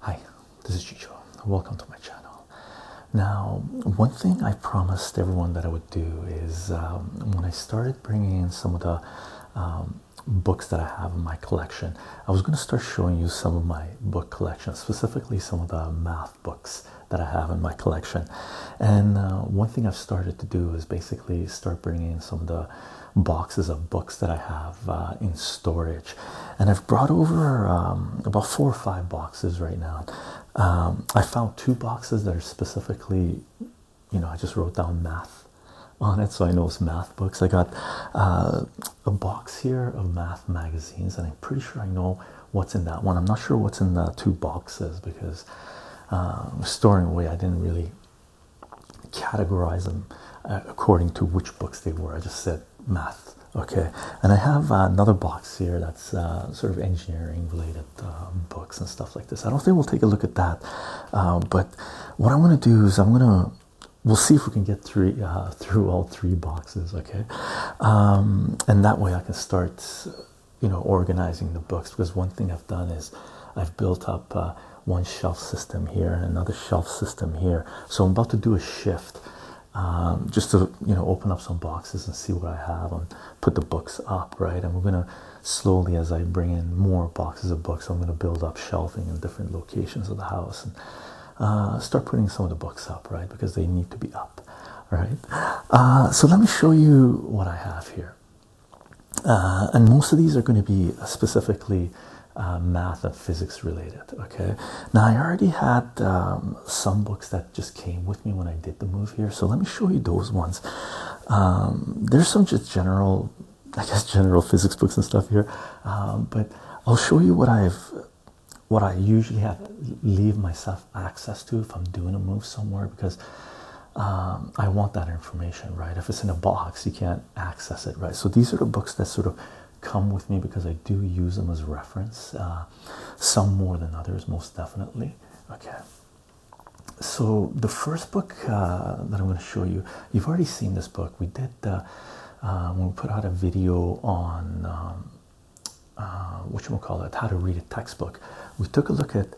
Hi, this is Chicho. Welcome to my channel. Now, one thing I promised everyone that I would do is um, when I started bringing in some of the um, books that I have in my collection, I was going to start showing you some of my book collection, specifically some of the math books that I have in my collection. And uh, one thing I've started to do is basically start bringing in some of the boxes of books that I have uh, in storage. And I've brought over um, about four or five boxes right now. Um, I found two boxes that are specifically, you know, I just wrote down math on it, so I know it's math books. I got uh, a box here of math magazines, and I'm pretty sure I know what's in that one. I'm not sure what's in the two boxes because um, storing away. I didn't really categorize them uh, according to which books they were. I just said math. Okay, and I have uh, another box here that's uh, sort of engineering related um, books and stuff like this. I don't think we'll take a look at that, um, but what I want to do is I'm gonna we'll see if we can get through through all three boxes. Okay, and that way I can start you know organizing the books because one thing I've done is I've built up uh, one shelf system here and another shelf system here. So I'm about to do a shift um, just to you know open up some boxes and see what I have and put the books up right. And we're gonna slowly as I bring in more boxes of books, I'm gonna build up shelving in different locations of the house and uh, start putting some of the books up right because they need to be up. Right, uh, so let me show you what I have here. Uh, and most of these are going to be specifically uh, math and physics related. Okay, now I already had um, some books that just came with me when I did the move here, so let me show you those ones. Um, there's some just general, I guess, general physics books and stuff here, um, but I'll show you what I've what I usually have leave myself access to if I'm doing a move somewhere because um, I want that information, right? If it's in a box, you can't access it, right? So these are the books that sort of come with me because I do use them as reference, uh, some more than others, most definitely. Okay. So the first book uh, that I'm going to show you, you've already seen this book. We did uh, when we put out a video on what um, uh, what you call it, how to read a textbook. We took a look at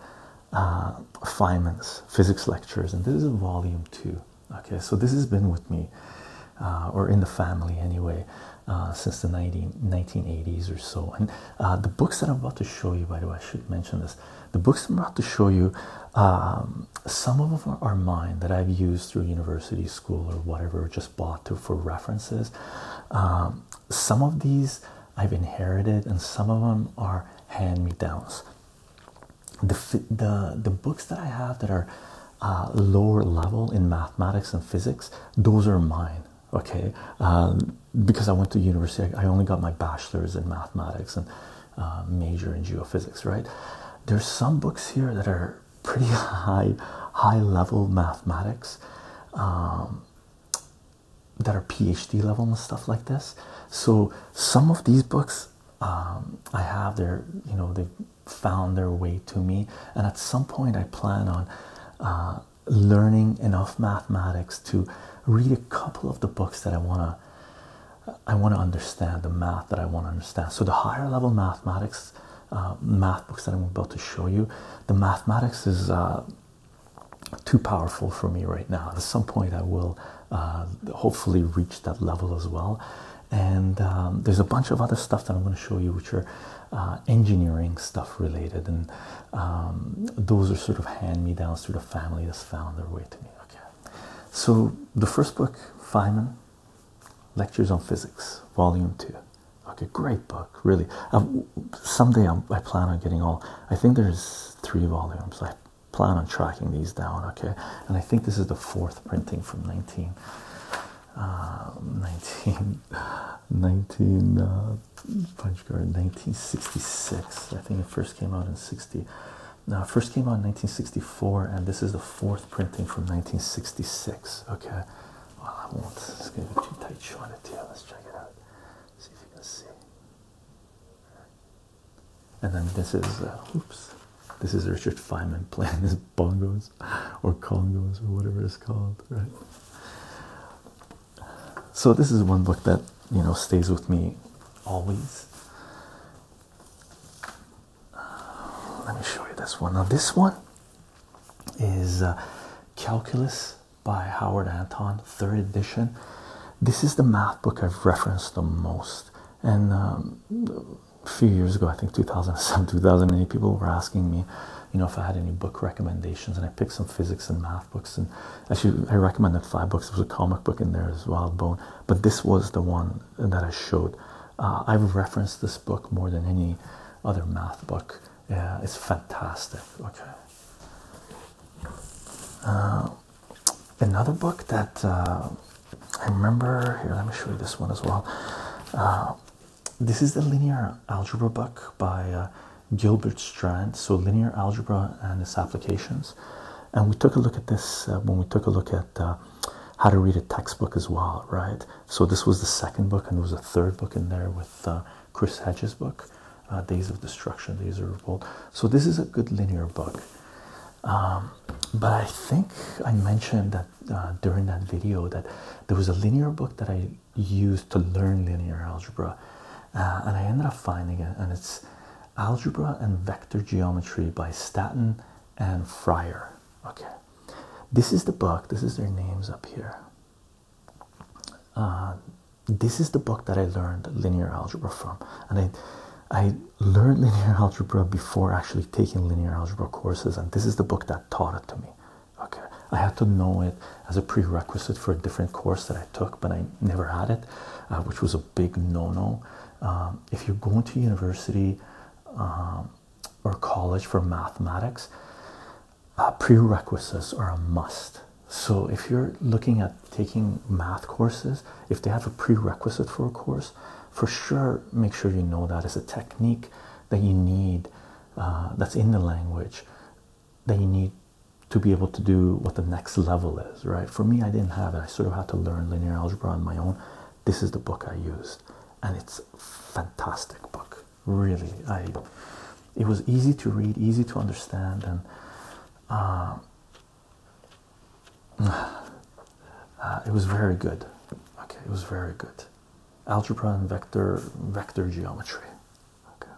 uh, Feynman's physics lectures, and this is volume two. Okay, so this has been with me, uh, or in the family anyway, uh, since the 19, 1980s or so. And uh, the books that I'm about to show you, by the way, I should mention this. The books I'm about to show you, um, some of them are mine that I've used through university, school, or whatever, just bought for references. Um, some of these I've inherited, and some of them are hand me downs. The, the, the books that I have that are uh, lower level in mathematics and physics, those are mine, okay? Um, because I went to university, I only got my bachelor's in mathematics and uh, major in geophysics, right? There's some books here that are pretty high, high level mathematics. Um, that are PhD level and stuff like this. So some of these books um, I have, they're you know they found their way to me, and at some point I plan on uh, learning enough mathematics to read a couple of the books that I wanna I wanna understand the math that I wanna understand. So the higher level mathematics. Uh, math books that I'm about to show you. The mathematics is uh, too powerful for me right now. At some point, I will uh, hopefully reach that level as well. And um, there's a bunch of other stuff that I'm going to show you, which are uh, engineering stuff related, and um, those are sort of hand me downs through the family that's found their way to me. Okay, so the first book, Feynman Lectures on Physics, Volume Two. Okay, great book, really someday i plan on getting all. I think there's three volumes. I plan on tracking these down. Okay, and I think this is the fourth printing from 19, uh, 1966. Uh, I think it first came out in 60. Now, first came out in 1964, and this is the fourth printing from 1966. Okay, well, I won't, it's gonna tight showing it to Let's check it out, see if you can see. And then this is, uh, oops, this is Richard Feynman playing his bongos or congos or whatever it's called, right? So this is one book that you know stays with me always. let me show you this one. Now this one is uh, Calculus by Howard Anton, third edition. This is the math book I've referenced the most. And um, a few years ago, I think 2007, 2008, people were asking me, you know, if I had any book recommendations, and I picked some physics and math books. And actually, I recommended five books. There was a comic book in there as well, Bone, but this was the one that I showed. Uh, I've referenced this book more than any other math book. Yeah, uh, it's fantastic. Okay. Uh, another book that uh, I remember here, let me show you this one as well. Uh, this is the linear algebra book by Gilbert Strand. So, linear algebra and its applications. And we took a look at this when we took a look at how to read a textbook as well, right? So, this was the second book, and there was a third book in there with Chris Hedges' book. Uh, Days of Destruction, Days of Revolt. So this is a good linear book. Um, but I think I mentioned that uh, during that video that there was a linear book that I used to learn linear algebra, uh, and I ended up finding it, and it's Algebra and Vector Geometry by Staten and Fryer. Okay, this is the book. This is their names up here this is the book that I learned linear algebra from, and I I learned linear algebra before actually taking linear algebra courses, and this is the book that taught it to me. Okay, I had to know it as a prerequisite for a different course that I took, but I never had it, uh, which was a big no-no. Um, if you're going to university um, or college for mathematics, uh, prerequisites are a must. So if you're looking at taking math courses, if they have a prerequisite for a course, for sure make sure you know that it's a technique that you need uh, that's in the language that you need to be able to do what the next level is, right? For me, I didn't have it. I sort of had to learn linear algebra on my own. This is the book I used, and it's a fantastic book. Really, I. It was easy to read, easy to understand, and um, uh, it was very good. Okay, it was very good. Algebra and vector vector geometry. Okay,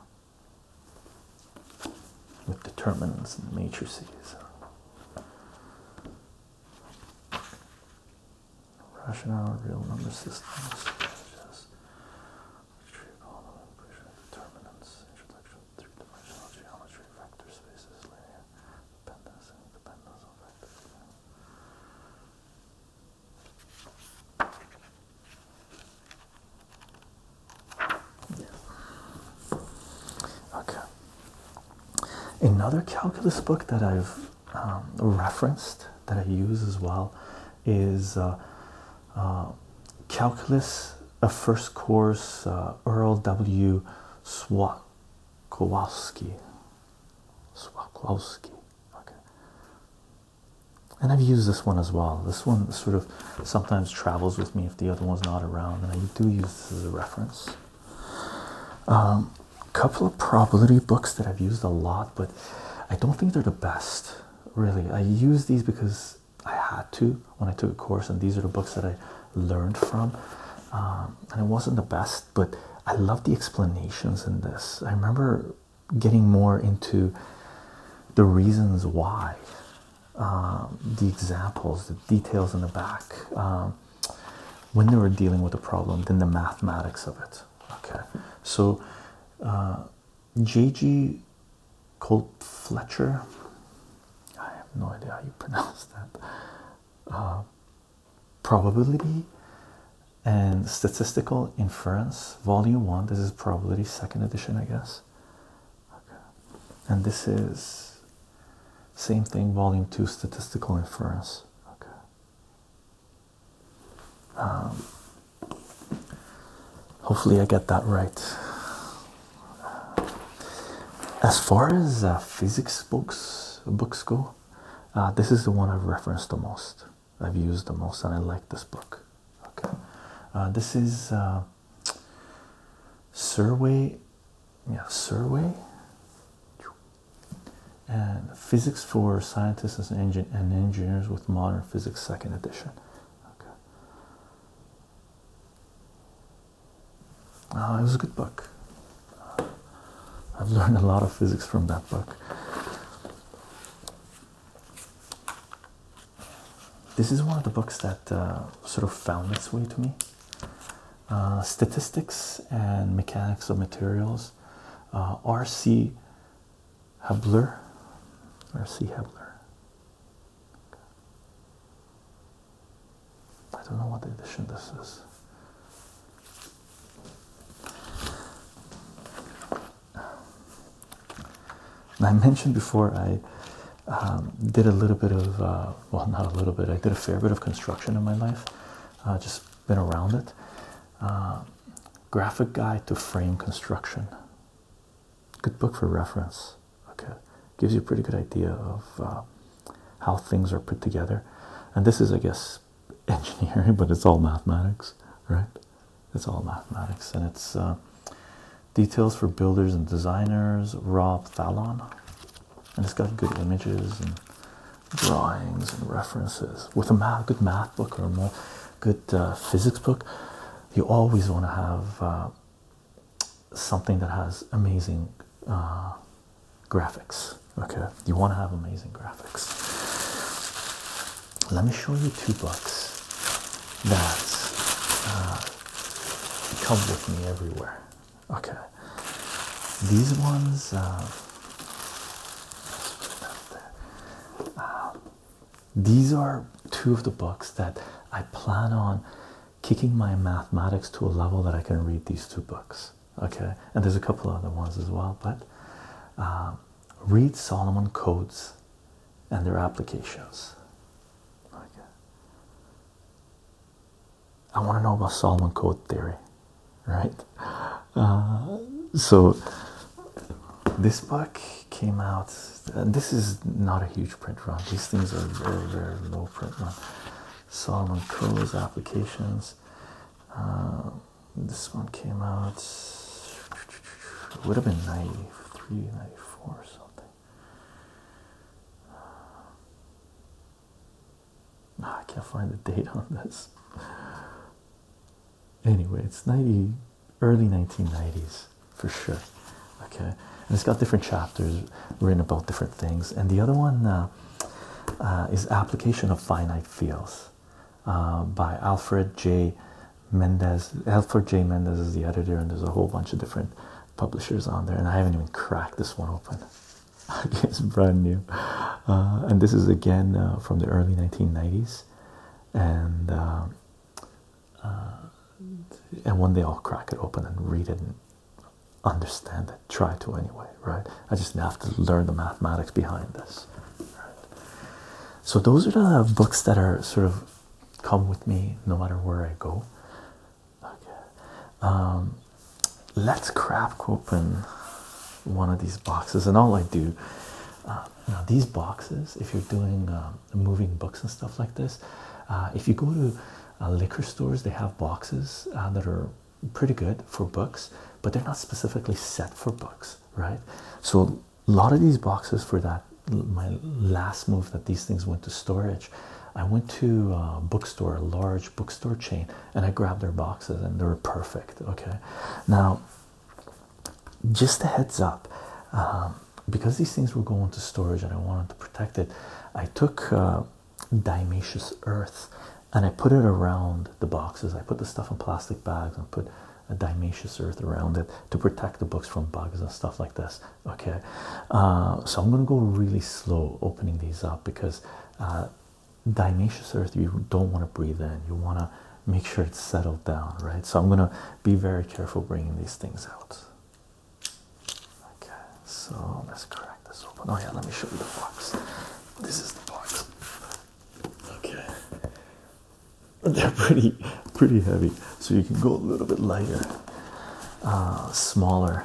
with determinants and matrices. Rational real number systems. Geometry of polynomial equation determinants, introduction three-dimensional geometry, vector spaces, linear dependence, and dependence on vectors. Yeah. Okay. Another calculus book that I've um, referenced that I use as well is uh, uh, calculus, a first course, uh, Earl W. Swakowski. Swakowski. Okay. And I've used this one as well. This one sort of sometimes travels with me if the other one's not around, and I do use this as a reference. A um, couple of probability books that I've used a lot, but I don't think they're the best. Really, I use these because I had to when I took a course, and these are the books that I learned from. Um, and it wasn't the best, but I love the explanations in this. I remember getting more into the reasons why, um, the examples, the details in the back, um, when they were dealing with a the problem, then the mathematics of it. Okay, so uh, J.G. Colt Fletcher. I have no idea how you pronounce that. Uh, probability and statistical inference, volume one. This is probability, second edition, I guess. Okay. And this is same thing, volume two, statistical inference. Okay. Um, hopefully, I get that right as far as uh, physics books books go, uh, this is the one I've referenced the most. I've used the most, and I like this book. Okay, uh, this is uh, Survey, yeah, Survey, and Physics for Scientists and, and Engineers with Modern Physics, Second Edition. Okay, Ah, it was a good book. I've learned a lot of physics from that book. This is one of the books that uh, sort of found its way to me. Uh, statistics and Mechanics of Materials, uh, R.C. Hebler, R.C. Hebler, I don't know what edition this is. I mentioned before I um, did a little bit of, uh, well, not a little bit, I did a fair bit of construction in my life, uh, just been around it. Uh, graphic guide to frame construction Good book for reference. Okay, gives you a pretty good idea of uh, how things are put together. And this is, I guess, engineering, but it's all mathematics, right? It's all mathematics, and it's uh, details for builders and designers. Rob Fallon, and it's got good images and drawings and references. With a good math book or a good uh, physics book, you always want to have something that has amazing uh, graphics. Okay, you want to have amazing graphics. Let me show you two books that uh, come with me everywhere. Okay, these ones. Uh, these are two of the books that I plan on kicking my mathematics to a level that I can read these two books. Okay, and there's a couple other ones as well, but uh, read Solomon codes and their applications. Okay. I want to know about Solomon code theory, right? Uh, so this book came out. Uh, this is not a huge print run. These things are very, very low print run. Solomon Curl's applications. Uh, this one came out. It would have been 93, 94 or something. Uh, I can't find the date on this. Anyway, it's 90, early 1990s for sure. Okay, and it's got different chapters written about different things. And the other one uh, uh, is Application of Finite Fields uh, by Alfred J. Mendez. Alfred J. Mendez is the editor, and there's a whole bunch of different publishers on there. And I haven't even cracked this one open. it's brand new. and this is again from the early 1990s. And uh, and one day I'll crack it open and read it and understand it. Try to anyway, right? I just have to learn the mathematics behind this. So those are the books that are sort of come with me no matter where I go. Okay, um, let's crack open one of these boxes, and all I do uh, now these boxes, if you're doing. Um, um, moving books and stuff like this. Uh, if you go to uh, liquor stores, they have boxes uh, that are pretty good for books, but they're not specifically set for books, right? So a lot of these boxes for that my last move that these things went to storage. I went to a bookstore, a large bookstore chain, and I grabbed their boxes, and they were perfect. Okay, now just a heads up, um, because these things were going to storage and I wanted to protect it, I took uh, earth and I put it around the boxes. I put the stuff in plastic bags and put a dimaceous earth around it to protect the books from bugs and stuff like this. Okay, uh, so I'm gonna go really slow opening these up because uh, earth you don't want to breathe in. You want to make sure it's settled down, right? So I'm gonna be very careful bringing these things out. Okay, so let's crack this open. Oh, yeah, let me show you the box. This is the box. Okay, they're pretty, pretty heavy, so you can go a little bit lighter, uh, smaller.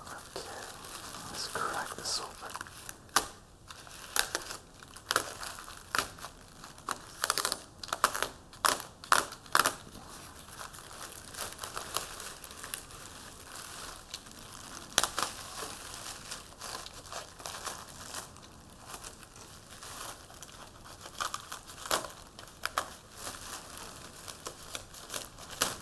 Okay, let's crack this open.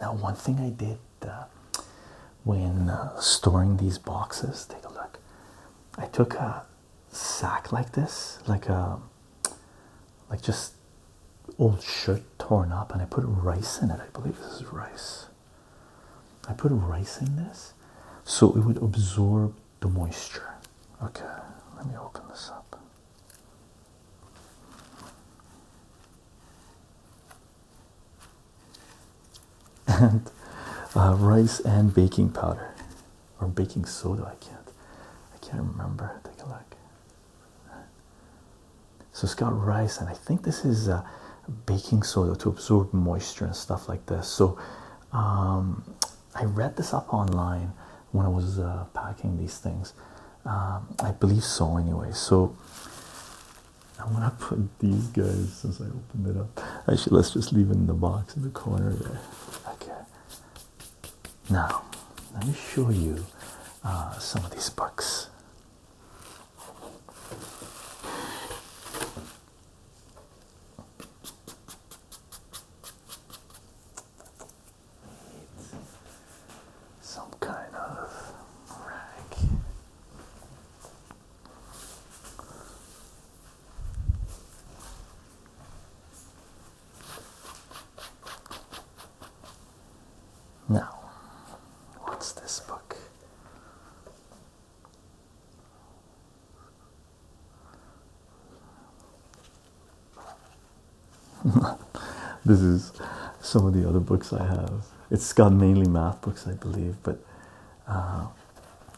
Now, one thing I did uh, when uh, storing these boxes, take a look. I took a sack like this, like a um, like just old shirt torn up, and I put rice in it. I believe this is rice. I put rice in this so it would absorb the moisture. Okay, let me open this up. And uh, rice and baking powder or baking soda. I can't, I can't remember. Take a look. So it's got rice, and I think this is uh, baking soda to absorb moisture and stuff like this. So um, I read this up online when I was uh, packing these things. Um, I believe so, anyway. So I'm gonna put these guys since I opened it up. Actually, let's just leave it in the box in the corner there. Okay. Now, let me show you uh, some of these books. Some kind of rack. Now, what's this book? this is some of the other books I have. It's got mainly math books, I believe, but uh,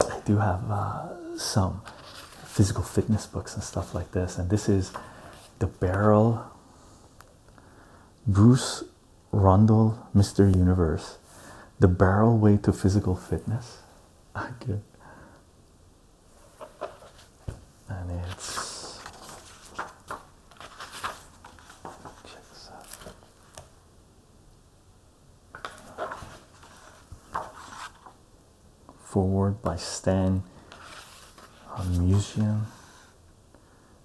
I do have uh, some physical fitness books and stuff like this. And this is the barrel. Bruce Rundle, Mr. Universe, The Barrel Way to Physical Fitness. Good. And it's check this out. Forward by Stan, Musian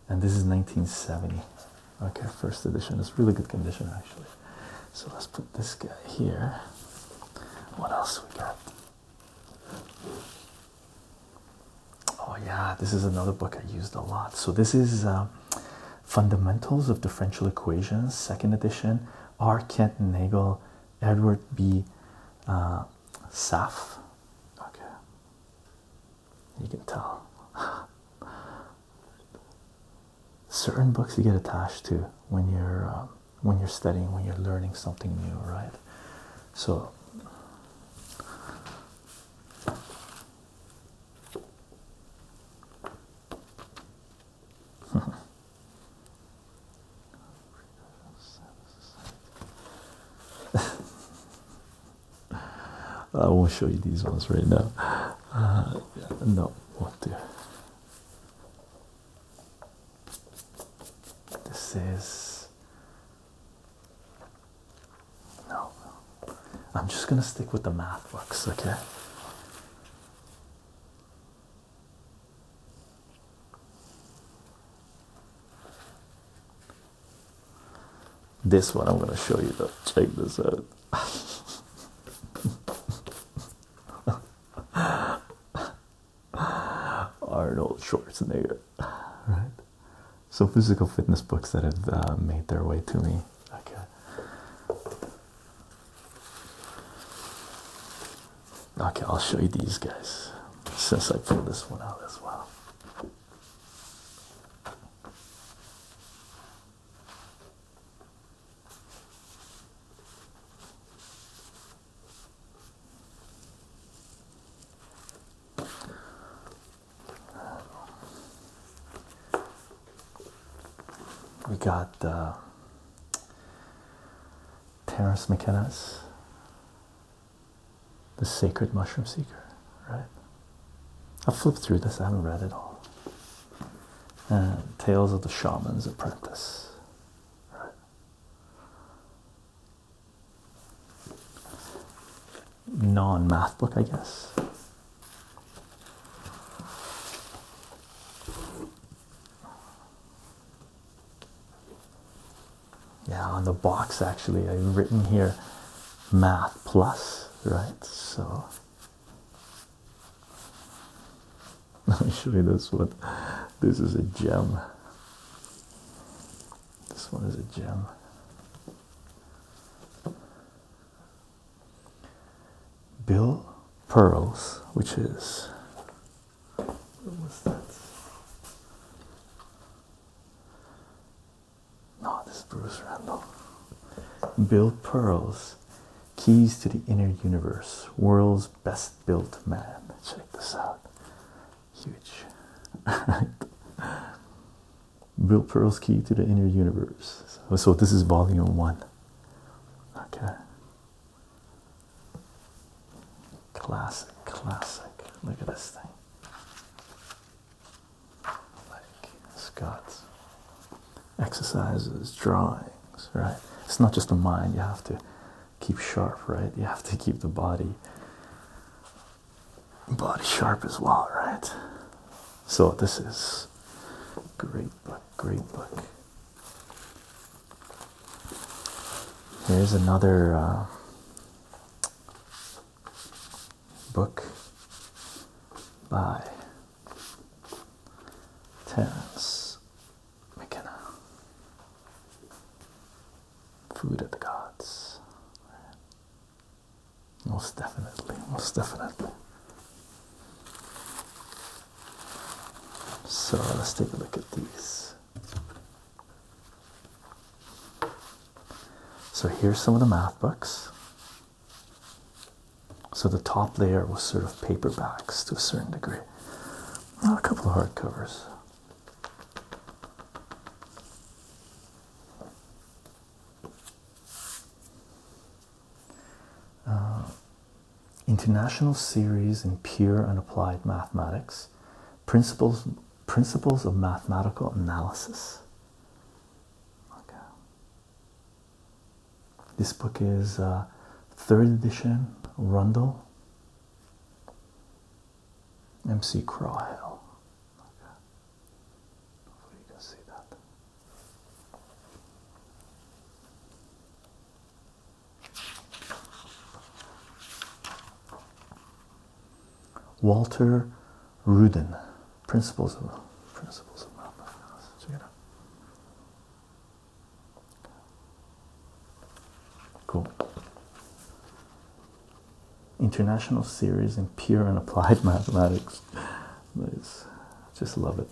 and this is 1970. Okay, first edition. It's really good condition actually. So let's put this guy here. What else we got? Oh yeah, this is another book I used a lot. So this is uh, Fundamentals of Differential Equations, second edition. R. Kent Nagel, Edward B. Uh, Saf. Okay. You can tell. Certain books you get attached to when you're um, when you're studying, when you're learning something new, right? So. I won't show you these ones right now. Uh, yeah, no, do? This is no. I'm just gonna stick with the math books, okay? This one I'm gonna show you though. Check this out. Arnold Schwarzenegger, right? So, physical fitness books that have uh, made their way to me. Okay. Okay, I'll show you these guys since I pulled this one out as well. We got uh, Terence McKenna's The Sacred Mushroom Seeker, right? i flipped through this, I haven't read it all. And uh, Tales of the Shaman's Apprentice. Right. Non math book, I guess. Yeah, on the box actually, I've written here math plus, right? So let me show you this one. This is a gem. This one is a gem. Bill Pearls, which is what was that? No, this is Bruce Randall. Bill Pearls, Keys to the Inner Universe, World's Best Built Man. Check this out. Huge. Bill Pearl's Key to the Inner Universe. So, so this is volume one. Okay. Classic, classic. Look at this thing. Like Scott's exercises, drawings, right? It's not just the mind, you have to keep sharp, right? You have to keep the body body sharp as well, right? So this is great book, great book. Here's another uh, book by Terence McKenna. Uh, food of the gods. Most definitely, most definitely. So let's take a look at these. So here's some of the math books. So the top layer was sort of paperbacks to a certain degree. a couple of hardcovers. Uh, international Series in Pure and Applied Mathematics Principles, Principles of Mathematical Analysis. Okay. This book is uh, third edition, Rundle, MC Crawhill. Okay. Walter Rudin, Principles of Principles of Mathematics. Cool. International series in pure and applied mathematics. Just love it.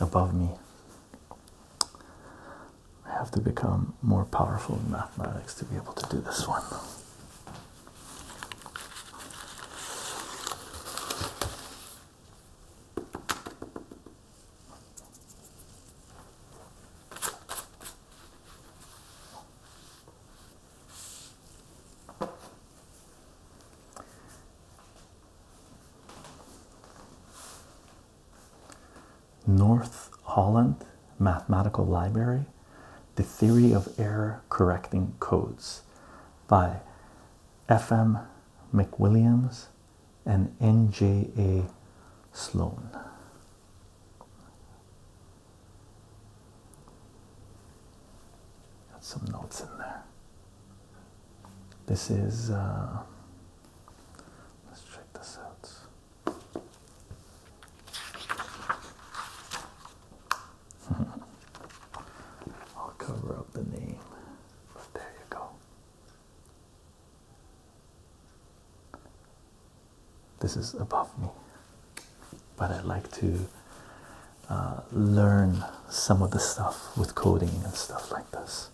Above me. I have to become more powerful in mathematics to be able to do this one. North Holland Mathematical Library, The Theory of Error Correcting Codes by F.M. McWilliams and N.J.A. Sloan. Got some notes in there. This is, uh, let's check this out. I'll cover up the name, there you go. This is above me, but I like to uh, learn some of the stuff with coding and stuff like this.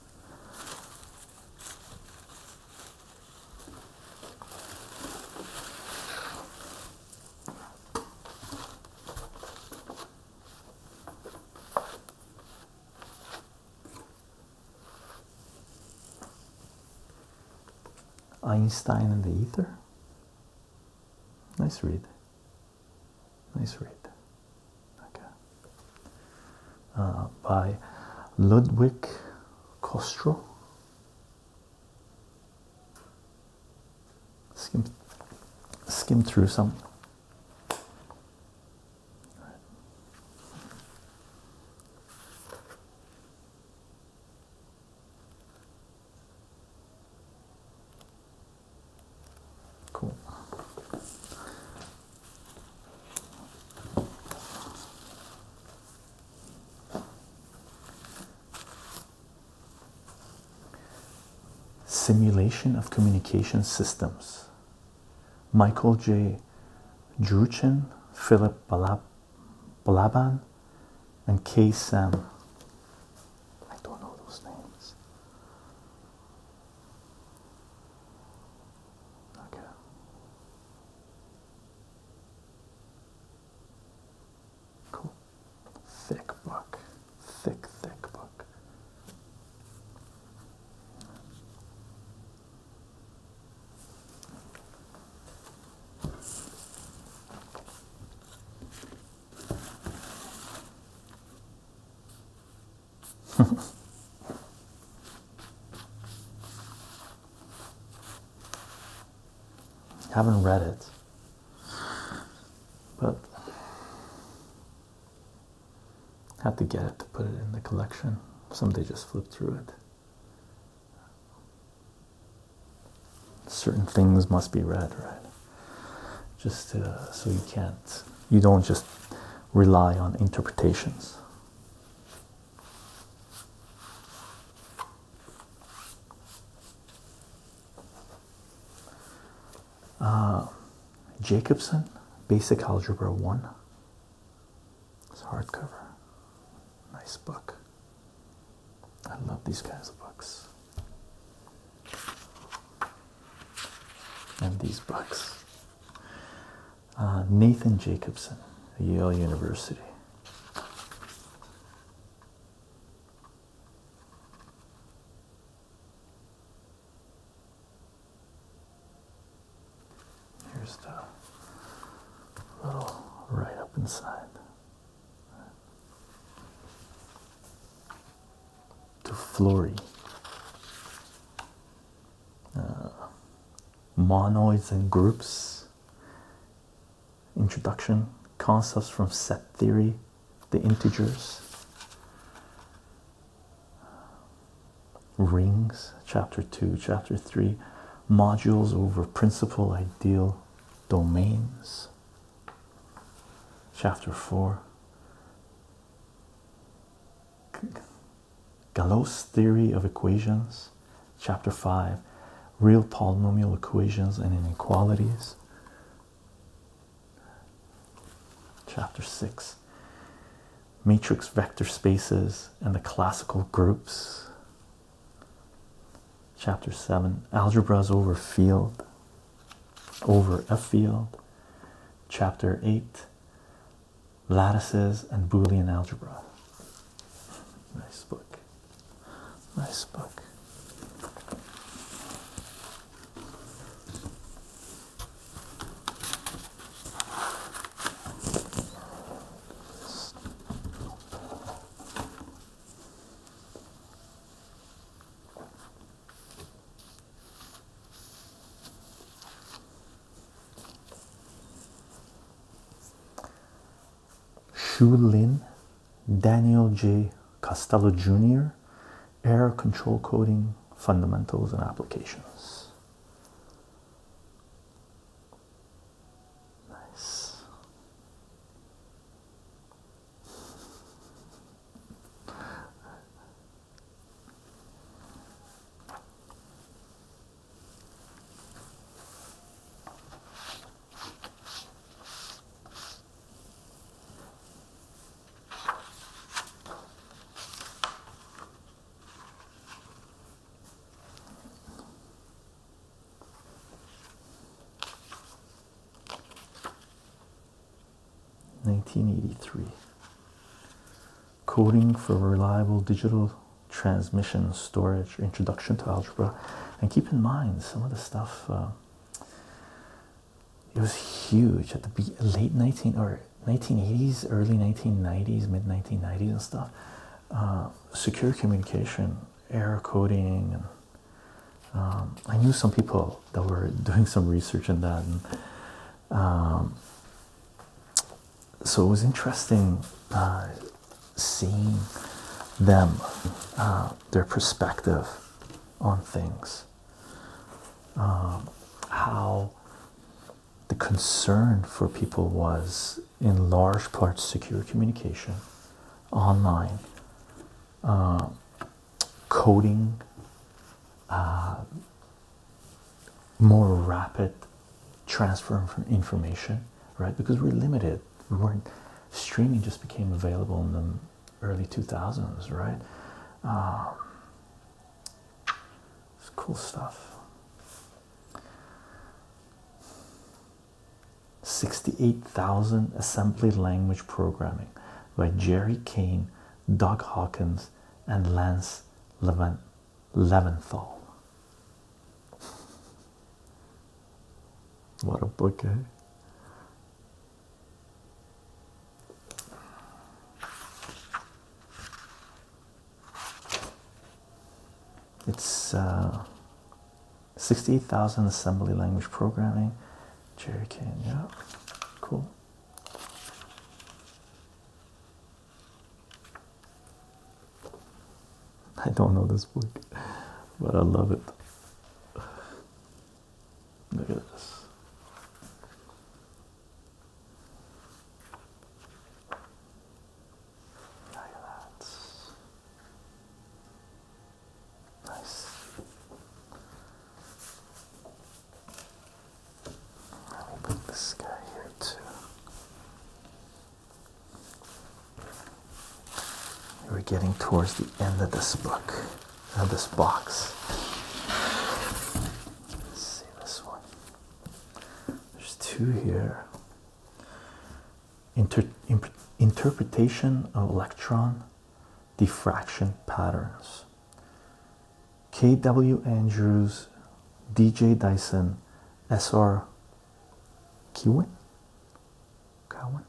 Einstein and the Ether. Nice read. Nice read. Okay. Uh, by Ludwig Kostro. Skim, skim through some. Cool. Simulation of Communication Systems. Michael J. Druchin, Philip Balab Balaban, and K. Sam. I don't know those names. Okay. Cool. Thick book. Thick, thick book. Haven't read it. But had to get it to put it in the collection. Someday just flip through it. Certain things must be read, right? Just uh, so you can't, you don't just rely on interpretations. Uh, Jacobson, Basic Algebra 1. It's hardcover. Nice book. I love these kinds of books. And these books. Uh, Nathan Jacobson, Yale University. Here's the little right up inside. To Flory. Uh, monoids and groups Introduction, concepts from set theory, the integers, rings, chapter 2, chapter 3, modules over principal ideal domains, chapter 4. Galois theory of equations, Chapter 5 Real Polynomial Equations and Inequalities. Chapter 6 Matrix Vector Spaces and the Classical Groups. Chapter 7 Algebras over Field, over a field. Chapter 8 Lattices and Boolean Algebra. Nice book. Nice book. Shu Lin, Daniel J. Costello Jr., Error Control Coding Fundamentals and Applications. Nice. 1983 coding for reliable digital transmission storage Introduction to Algebra. And keep in mind, some of the stuff, uh, it was huge at the late 19 or 1980s, early 1990s, mid 1990s and stuff. Uh, secure communication, error coding, and um, I knew some people that were doing some research in that. And, um, so it was interesting uh, seeing them, uh, their perspective on things, um, how the concern for people was in large part secure communication, online, uh, coding, uh, more rapid transfer of information right? Because we're limited. We weren't streaming just became available in the early 2000s, right? Um, it's cool stuff. 68,000 assembly language programming by Jerry Kane, Doug Hawkins, and Lance Leventhal. What a book, It's uh, 68,000 assembly language programming. Jerry Kane, yeah, cool. I don't know this book, but I love it. Look at this. Look at that. Nice. Let me put this guy here too. We're getting towards the end of this book, of this box. see this one. There's two here. interpretation of electron diffraction patterns. K.W. Andrews, D.J. Dyson, S.R. Kewin, Cowan?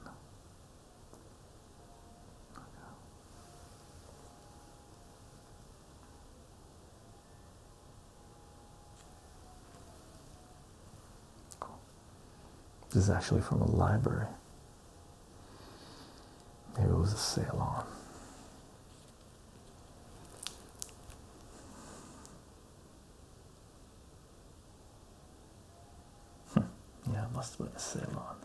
This is actually from a library. Maybe it was a salon. Hmm. yeah, must have been a sale on.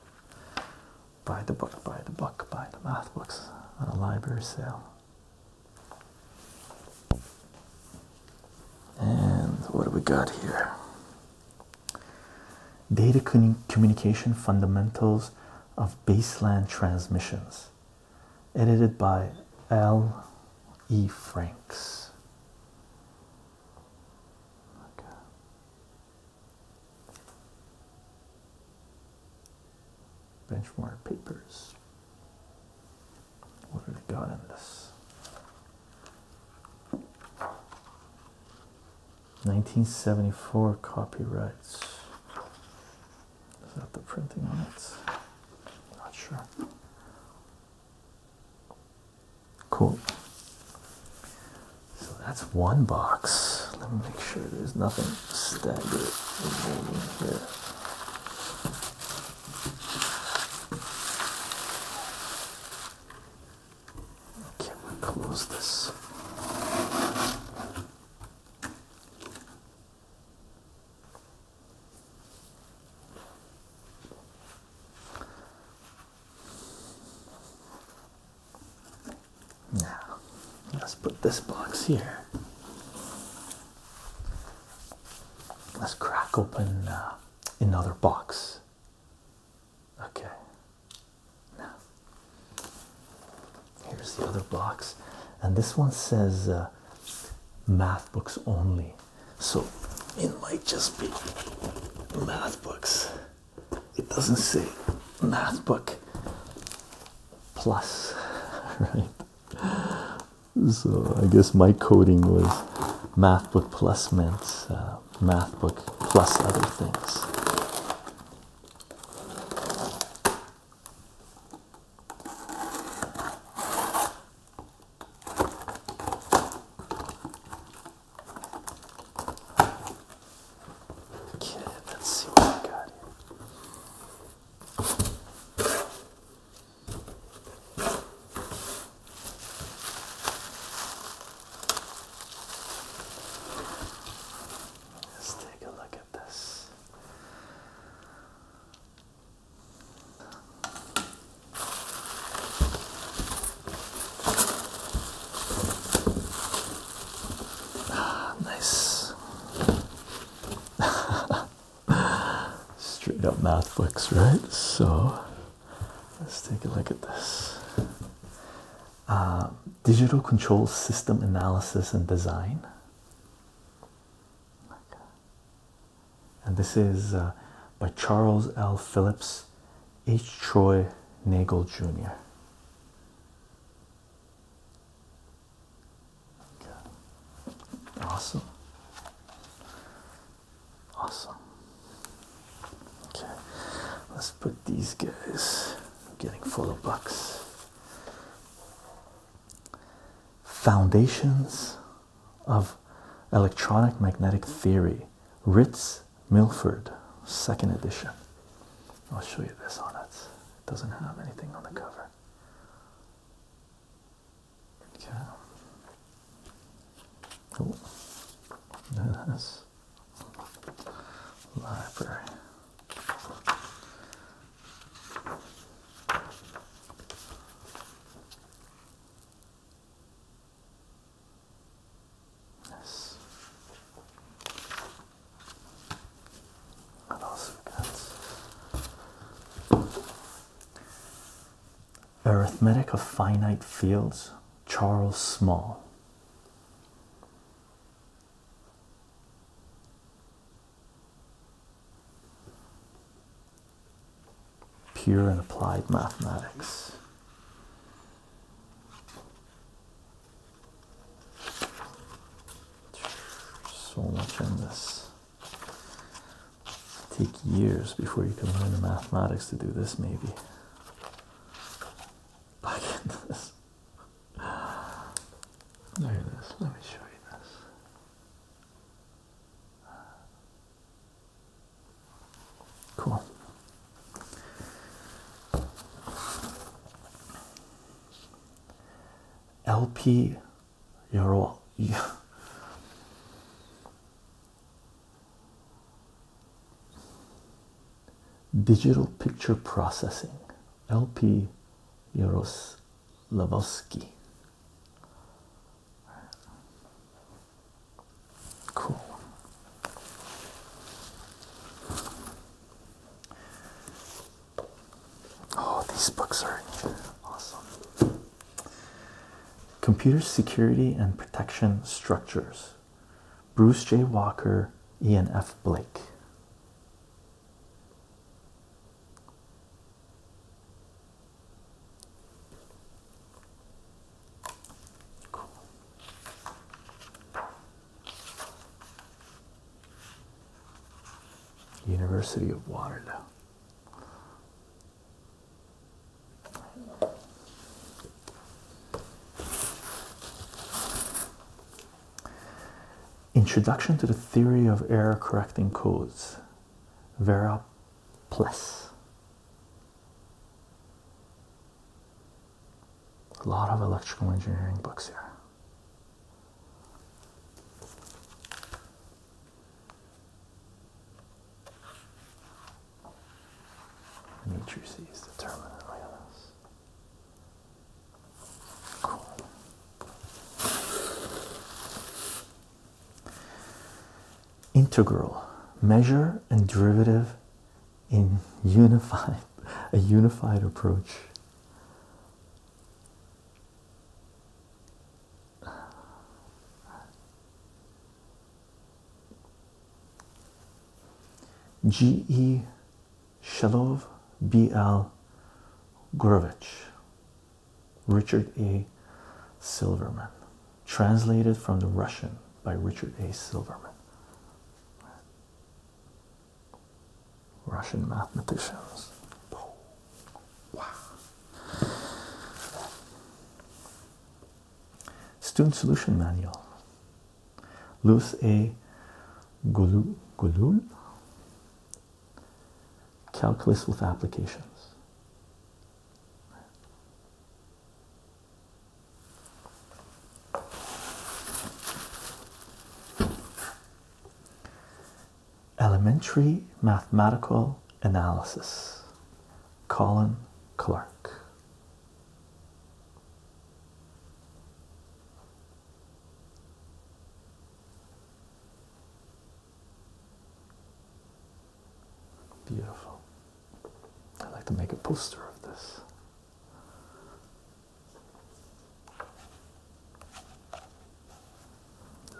Buy the book, buy the book, buy the math books on a library sale. And what do we got here? Data Communication Fundamentals of Baseland Transmissions, edited by L. E. Franks. Uh, benchmark papers. What have we got in this? 1974 copyrights. Is that the printing on it? Not sure. Cool. So that's one box. Let me make sure there's nothing staggered here. Okay, we close this. Now, let's put this box here. Let's crack open uh, another box. Okay. Now, here's the other box, and this one says uh, math books only so it might just be math books. It doesn't say math book plus, right? So I guess my coding was math book plus meant uh, math book plus other things. Okay, let's see what we got here. Let's take a look at this. Ah, nice. Straight up math books, right? So let's take a look at this. Um, digital control system analysis and design and this is uh, by Charles L. Phillips, H. Troy Nagel Jr. Okay. Awesome. Awesome. Okay, let's put these guys. I'm getting full of bucks. Foundations of electronic magnetic theory, Ritz Milford, second edition. I'll show you this on it. It doesn't have anything on the cover. Okay. Cool. There it is. Library. Yes. What else we got? Arithmetic of Finite Fields, Charles Small. Pure and applied mathematics. So much in this. Take years before you can learn the mathematics to do this, maybe. Back into this. Look at this. Let me show you this. Cool. LP Euro Digital Picture Processing LP Yaroslavsky Cool. Oh, these books are awesome. Computer Security and Protection Structures. Bruce J. Walker, Ian F. Blake. University of Waterloo. Introduction to the Theory of Error Correcting Codes, Vera Pless. A lot of electrical engineering books here. Matrices is determinant. Look at Cool integral measure and derivative in unified a unified approach G. E. Shalov, B. L. Grovich, Richard A. Silverman translated from the Russian by Richard A. Silverman, Russian mathematicians. Student Solution Manual. Louis A. Goulul. Calculus with Applications. Elementary Mathematical Analysis, Colin Clark. Beautiful. I'd like to make a poster of this.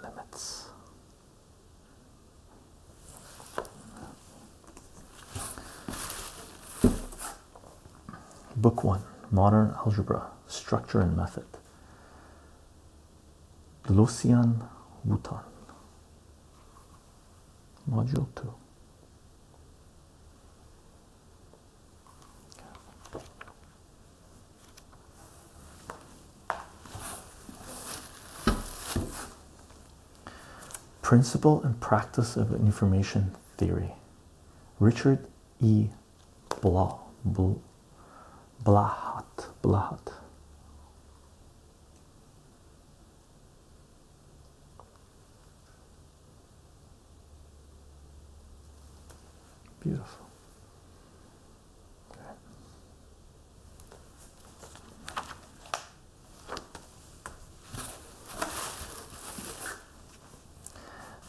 Limits. Book one Modern Algebra Structure and Method. Lucian Wooton module 2 Principle and Practice of Information Theory, Richard E. Blah, Blah, Blahat, Blahat. Beautiful.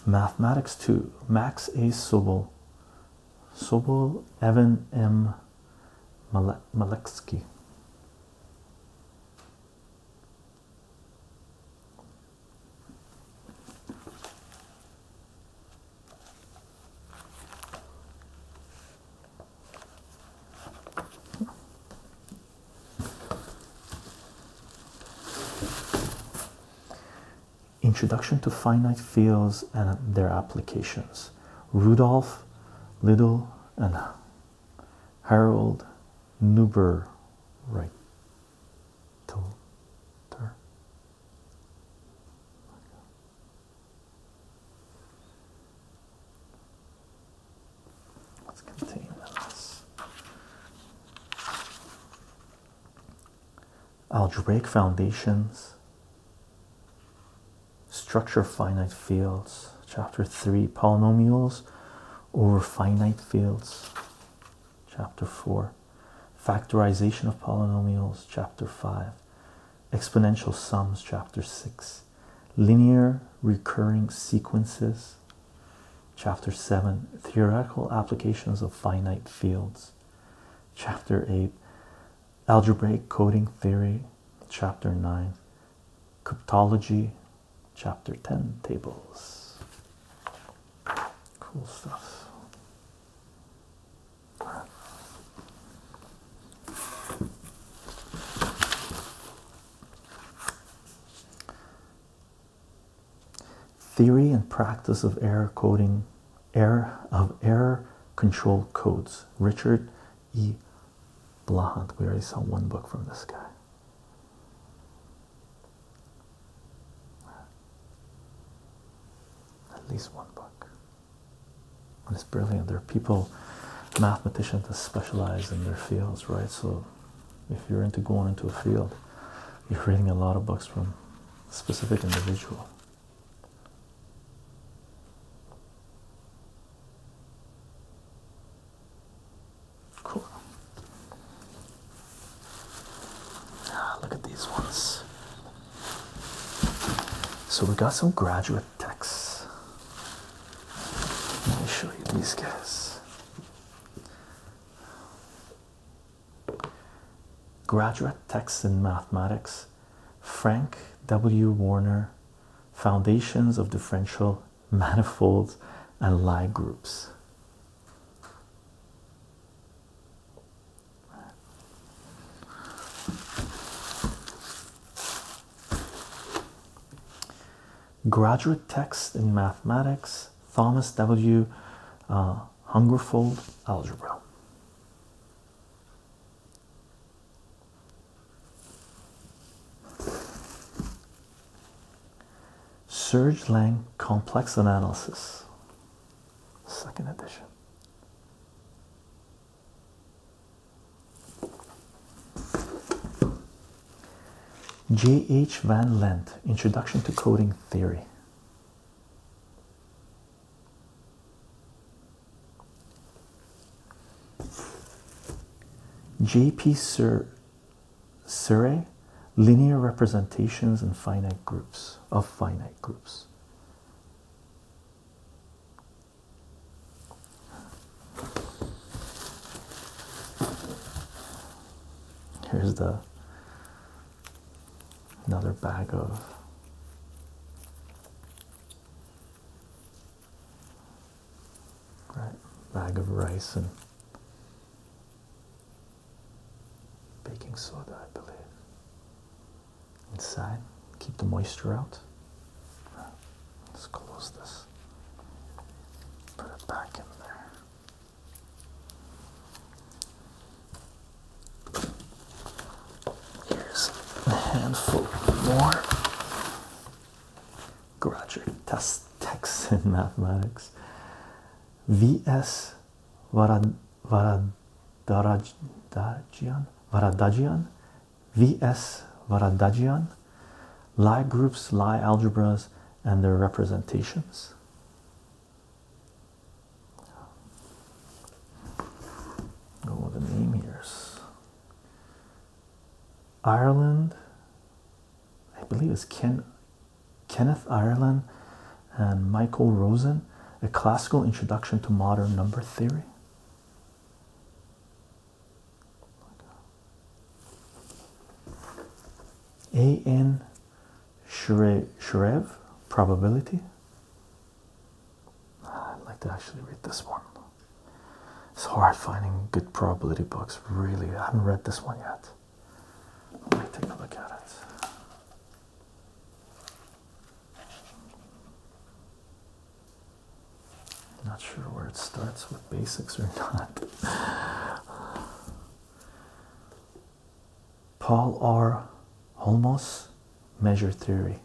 Mathematics 2, Max A. Sobol. Sobol Evan M. Malexki, Introduction to Finite Fields and Their Applications. Rudolf Little, and Harold Neuber right Let's continue Algebraic foundations Structure of finite fields, chapter 3, polynomials over finite fields, chapter 4, factorization of polynomials, chapter 5, exponential sums, chapter 6, linear recurring sequences, chapter 7, theoretical applications of finite fields, chapter 8, algebraic coding theory, chapter 9 Cryptology, Chapter 10 tables. Cool stuff. Theory and practice of error coding, error of error control codes. Richard E. Blahant. We already saw one book from this guy. At least one book. And it's brilliant. There are people, mathematicians that specialize in their fields, right? So if you're into going into a field, you're reading a lot of books from a specific individual. Cool. Ah, look at these ones. So we got some graduate texts. Let me show you these guys. Graduate Texts in Mathematics, Frank W. Warner, Foundations of Differential manifolds, and Lie groups. Graduate text in mathematics, Thomas W. Uh, Hungerfold algebra. Surge Lang Complex Analysis, second edition. J. H. Van Lent, Introduction to Coding Theory. J.P. Sur linear representations and finite groups of finite groups. Here's the another bag of right? Bag of rice and baking soda, I believe. Inside, keep the moisture out. Let's close this. Put it back in there. Here's a handful more. Gratcher test texts in mathematics. V.S. Varad, Varadajian, Varadajian, V.S. Varadajian, Lie groups, Lie algebras, and their representations. Oh, the name here's Ireland, I believe it's Ken, Kenneth Ireland and Michael Rosen, A Classical Introduction to Modern Number Theory. A.N. Shrev, Probability. I'd like to actually read this one. It's hard finding good probability books. Really, I haven't read this one yet. Let me take a look at it. Not sure where it starts with basics or not. Paul R. Holmos, Measure Theory.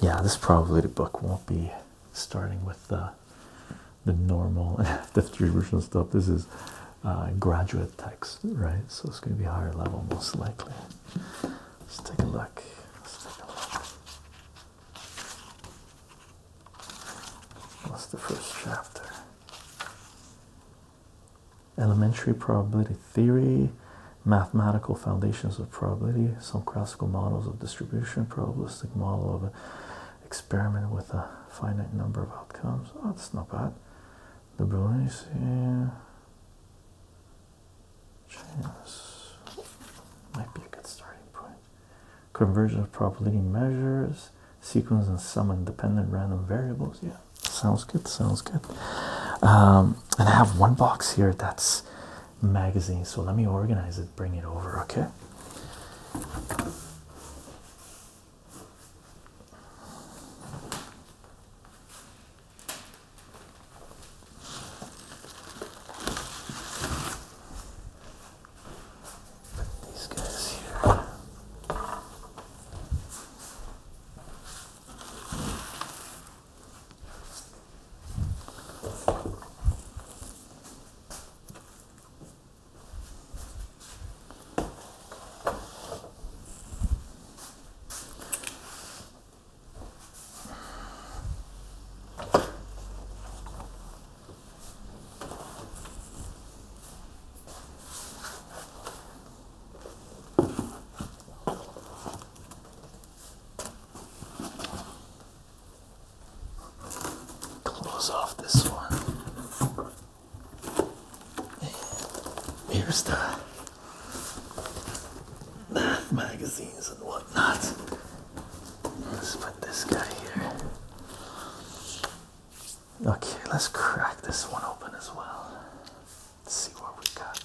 Yeah, this probability book won't be starting with the the normal distribution stuff. This is uh, graduate text, right? So it's going to be higher level, most likely. Let's take a look. Let's take a look. What's the first chapter? Elementary probability theory, mathematical foundations of probability, some classical models of distribution, probabilistic model of an experiment with a finite number of outcomes. Oh, that's not bad. The Bruins, yeah. Chance might be a good starting point. Convergence of probability measures, sequence and some independent random variables. Yeah, sounds good. Sounds good. Um, and I have one box here that's magazine. So let me organize it. Bring it over. Okay these guys here. Close off this one. here's the math magazines and whatnot. Let's put this guy here. Okay, let's crack this one open as well. see what we got.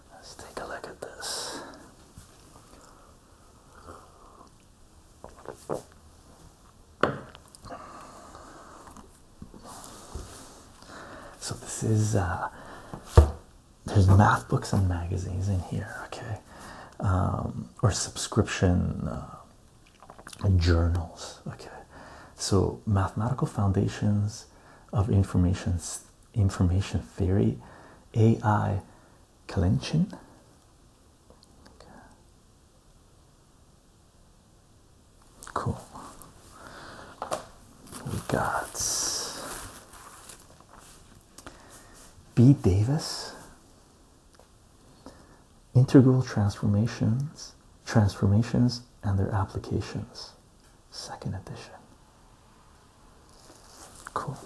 Let's take a look at this. So this is uh, there's math books and magazines in here, okay, um, or subscription uh, journals, okay. So mathematical foundations of information information theory, A.I. Kalinchin. Cool. We got B. Davis. Integral transformations, transformations and their applications, second edition. Cool.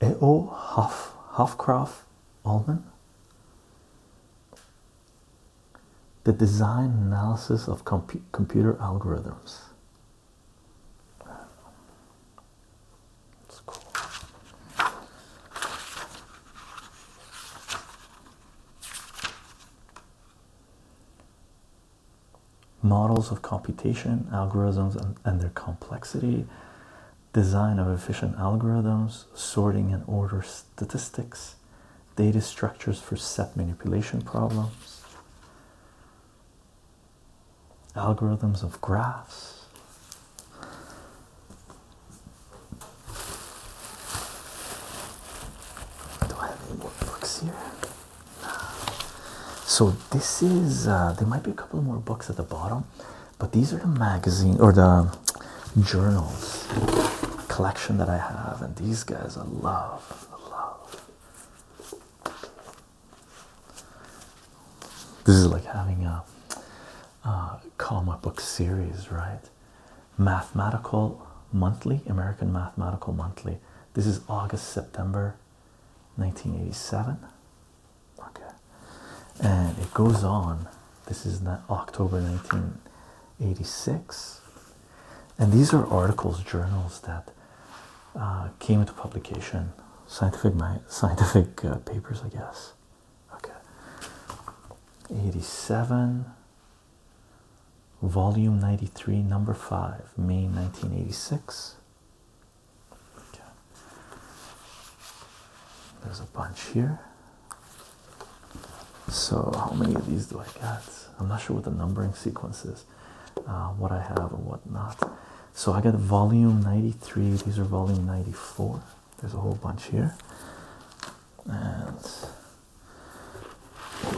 A.O. Huff, Huffcroft The design analysis of compu computer algorithms. Models of computation, algorithms, and, and their complexity, design of efficient algorithms, sorting and order statistics, data structures for set manipulation problems algorithms of graphs. Do I have any more books here? So this is uh, there might be a couple more books at the bottom, but these are the magazine or the journals collection that I have, and these guys I love, I love. This is like having a uh, comic book series, right? Mathematical Monthly, American Mathematical Monthly. This is August, September 1987. Okay, and it goes on. This is not October 1986. And these are articles, journals that uh, came into publication, scientific, scientific uh, papers, I guess okay 87 volume 93 number 5 may 1986 okay. there's a bunch here so how many of these do i get i'm not sure what the numbering sequence is uh, what i have and what not so i got volume 93 these are volume 94 there's a whole bunch here. And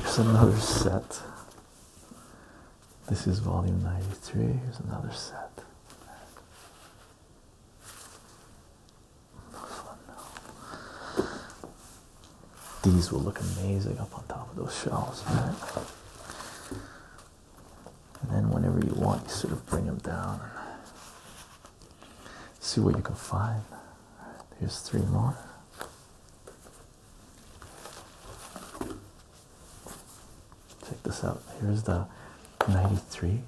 here's another set. This is volume 93. Here's another set. These will look amazing up on top of those shelves, right? and then whenever you want you sort of bring them down and see what you can find here's three more check this out here's the 93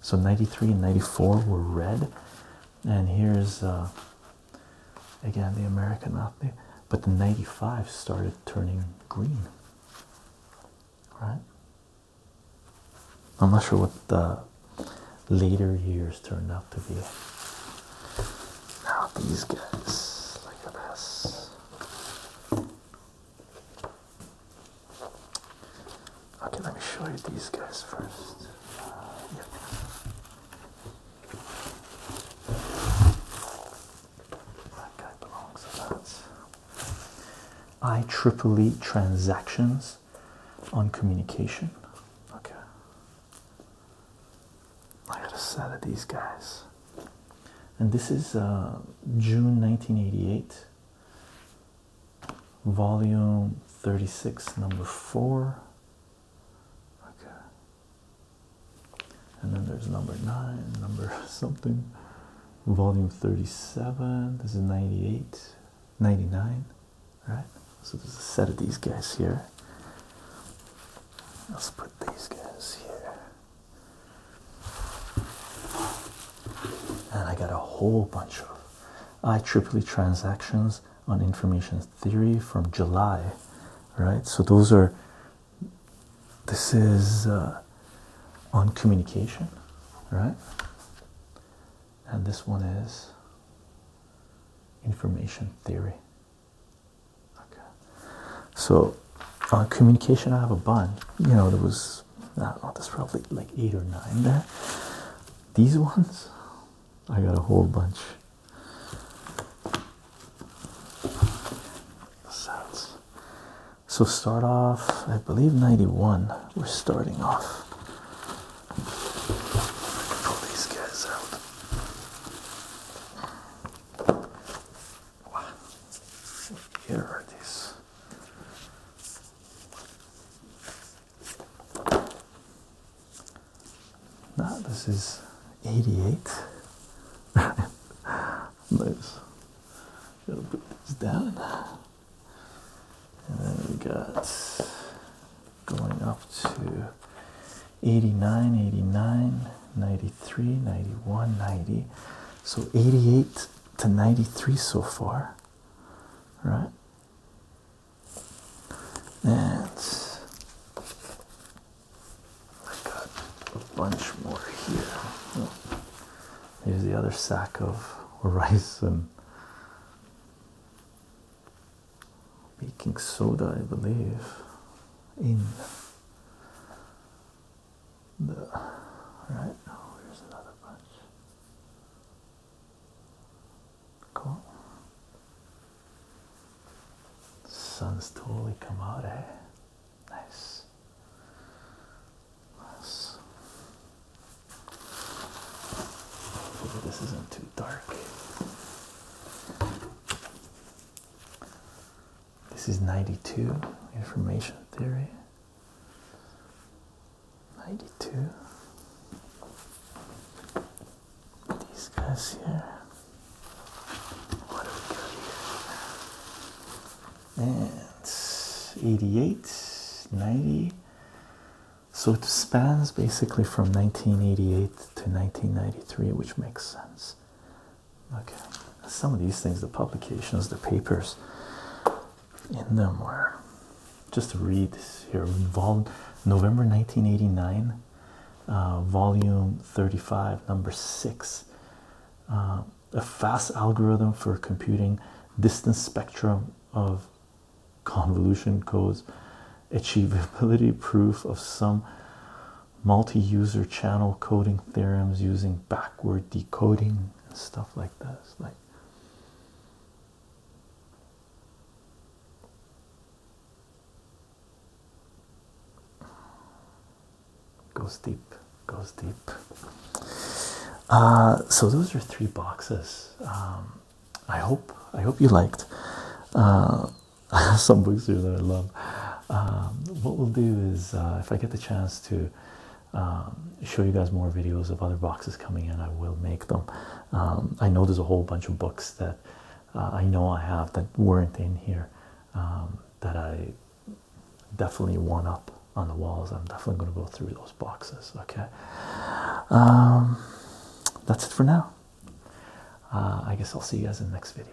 so 93 and 94 were red and here's uh, again the american athlete but the 95 started turning green right I'm not sure what the later years turned out to be. Now these guys, look at this. Okay, let me show you these guys first. Uh, that guy belongs to that. I triple e transactions on communication. Okay. I got to sell these guys. And this is uh, June 1988, volume 36, number 4. Okay. And then there's number 9, number something volume 37 this is 98 99 right so there's a set of these guys here let's put these guys here and i got a whole bunch of IEEE transactions on information theory from july right so those are this is uh, on communication, right? And this one is information theory. Okay, so on communication, I have a bunch. You know, there was not probably like eight or nine there. These ones, I got a whole bunch. Sounds so start off, I believe 91. We're starting off. Pull these guys out. Here are these. Now this is 88. nice. Gotta put this down and then we got going up to 89 89 93 91 90 so 88 to 93 so far right and I got a bunch more here. Oh. Here's the other sack of rice and baking soda, I believe, in the right. Here's another bunch. Cool. sun's totally come out, eh? Nice this isn't too dark. This is 92, information theory. 92. These guys here. What do we got here? and 88 90 so it spans basically from 1988 to 1993 which makes sense okay some of these things the publications the papers in them were just to read here involved november 1989 uh, volume 35 number 6 uh, a fast algorithm for computing distance spectrum of convolution codes, achievability proof of some multi-user channel coding theorems using backward decoding and stuff like this. Like goes deep goes deep. Uh, so those are three boxes. Um, I hope I hope you liked. Uh, some books here that I love. Um, what we'll do is uh, if I get the chance to um, show you guys more videos of other boxes coming in, I will make them. I know there's a whole bunch of books that I know I have that weren't in here that I definitely want up on the walls. I'm definitely going to go through those boxes. Okay, um, that's it for now. Uh, I guess I'll see you guys in the next video.